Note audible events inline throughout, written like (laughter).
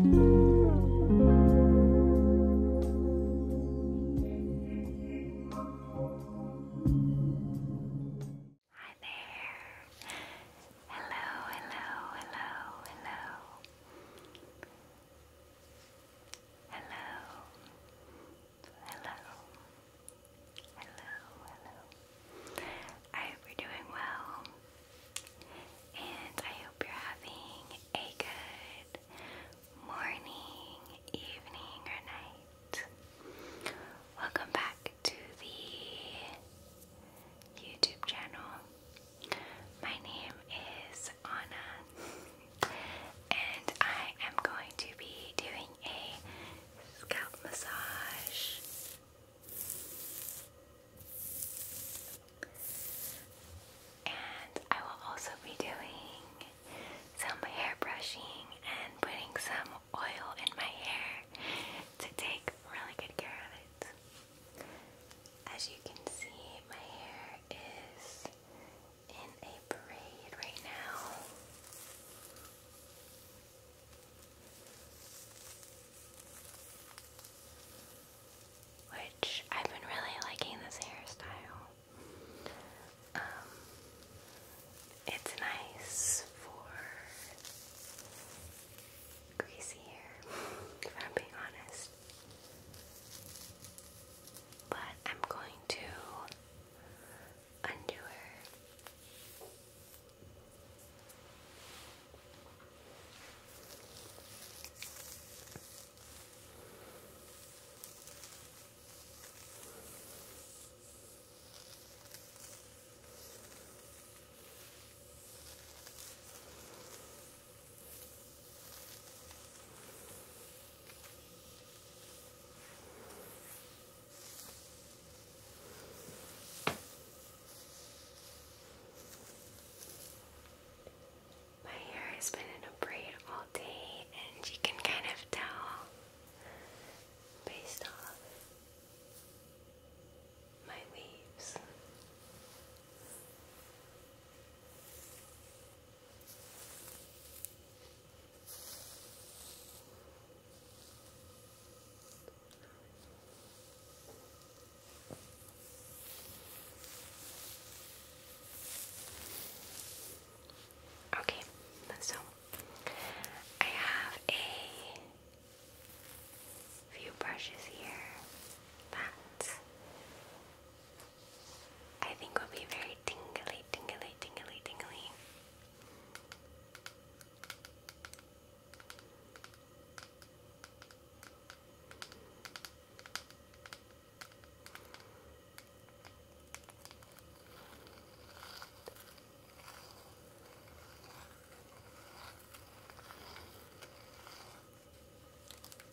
Hi there. Hello, hello, hello, hello. Hello. Hello. Hello, hello. I hope you're doing well. And I hope you're having a good morning, evening, or night. Welcome back to the YouTube channel. My name is Anna and I am going to be doing a scalp massage. And I will also be doing some hair brushing and putting some oil in my hair to take really good care of it. As you can see, my hair is in a parade right now. Which I've been really liking this hairstyle. Um, it's nice for greasy hair, (laughs) if I'm being honest. But I'm going to undo her. My hair has been in a braid all day, and you can kind of tell based off my waves. Okay, so I have a few brushes here that I think will be very tingly, tingly, tingly, tingly.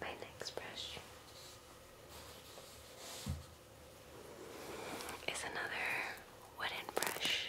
My next brush is another wooden brush.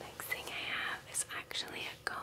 Next thing I have is actually a comb.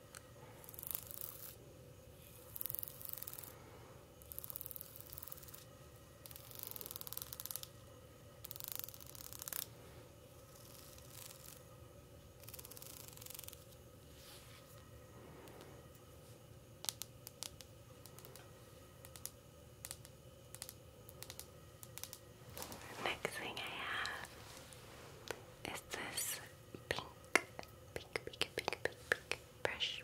Next thing I have is this pink, pink, pink, pink, pink, pink brush.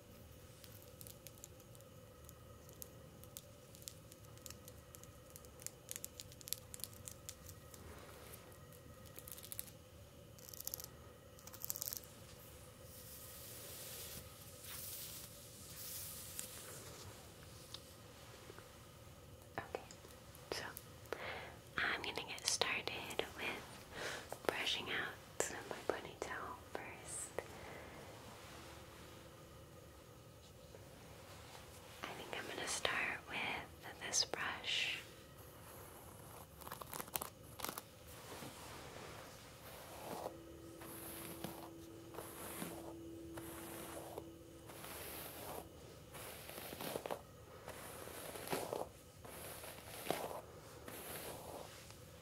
Okay, so I'm going to get started with brushing out my ponytail first. I think I'm going to start with this brush.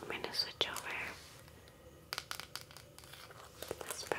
I'm going to switch over this brush.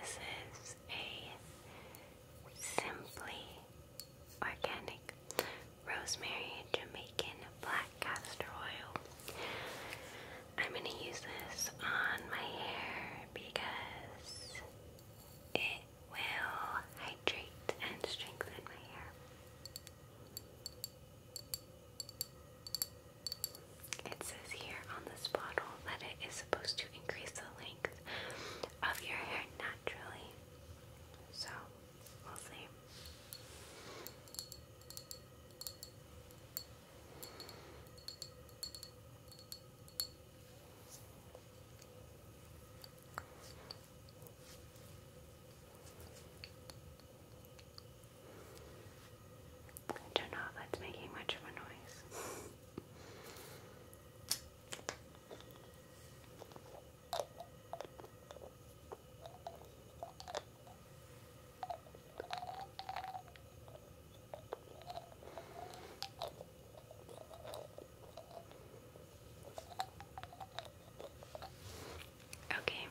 This is a simply organic rosemary Jamaican black castor oil. I'm going to use this on my hair because it it will hydrate and strengthen my hair. It says here on this bottle that it is supposed to increase the length of your hair naturally. So, we'll see. I don't know that's making much of a noise. Okay.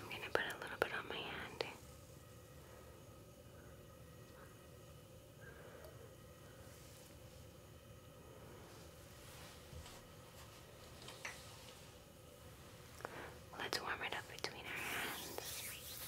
I'm going to put a little bit on my hand. Let's warm it up between our hands.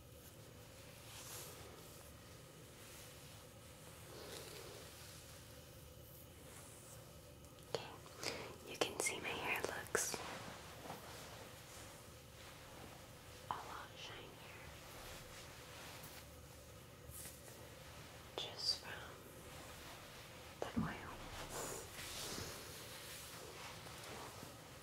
you can see my hair looks a lot shinier just from the oil.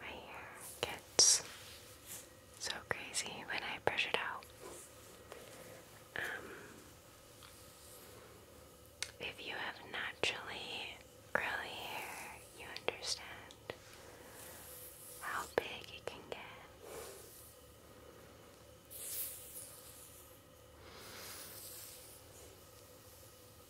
My hair gets so crazy when I brush it out. Um, if you have naturally curly hair, you understand how big it can get.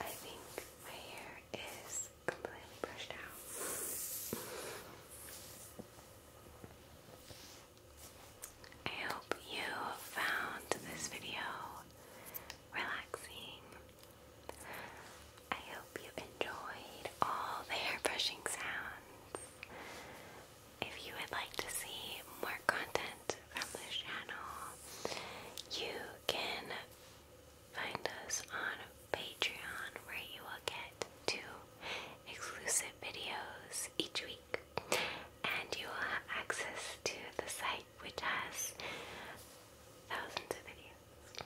I think my hair is completely brushed out. I hope you found this video relaxing. I hope you enjoyed all the hair brushing sounds. If you would like to see more content comment from this channel. You can find us on Patreon where you will get two exclusive videos each week and you will have access to the site which has thousands of videos.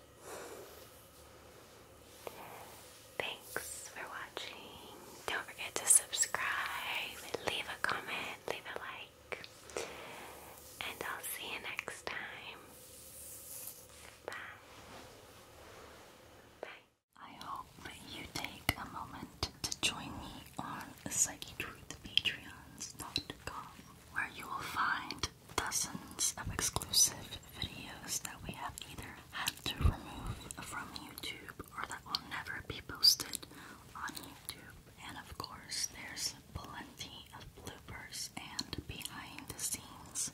Thanks for watching. Don't forget to subscribe, leave a comment, leave a like like. And I'll see you next time. Bye. I hope that you take a moment to join me on psychetruthpatreons.com where you will find dozens of exclusive videos that we have either had to remove from YouTube or that will never be posted on YouTube. And of course, there's plenty of bloopers and behind the scenes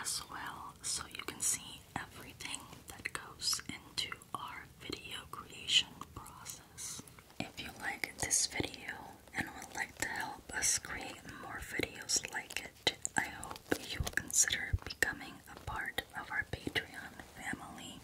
as well, so you can see everything that goes into our video creation process. If you like this video and would like to help us create more videos like it, I hope you will consider becoming a part of our Patreon family.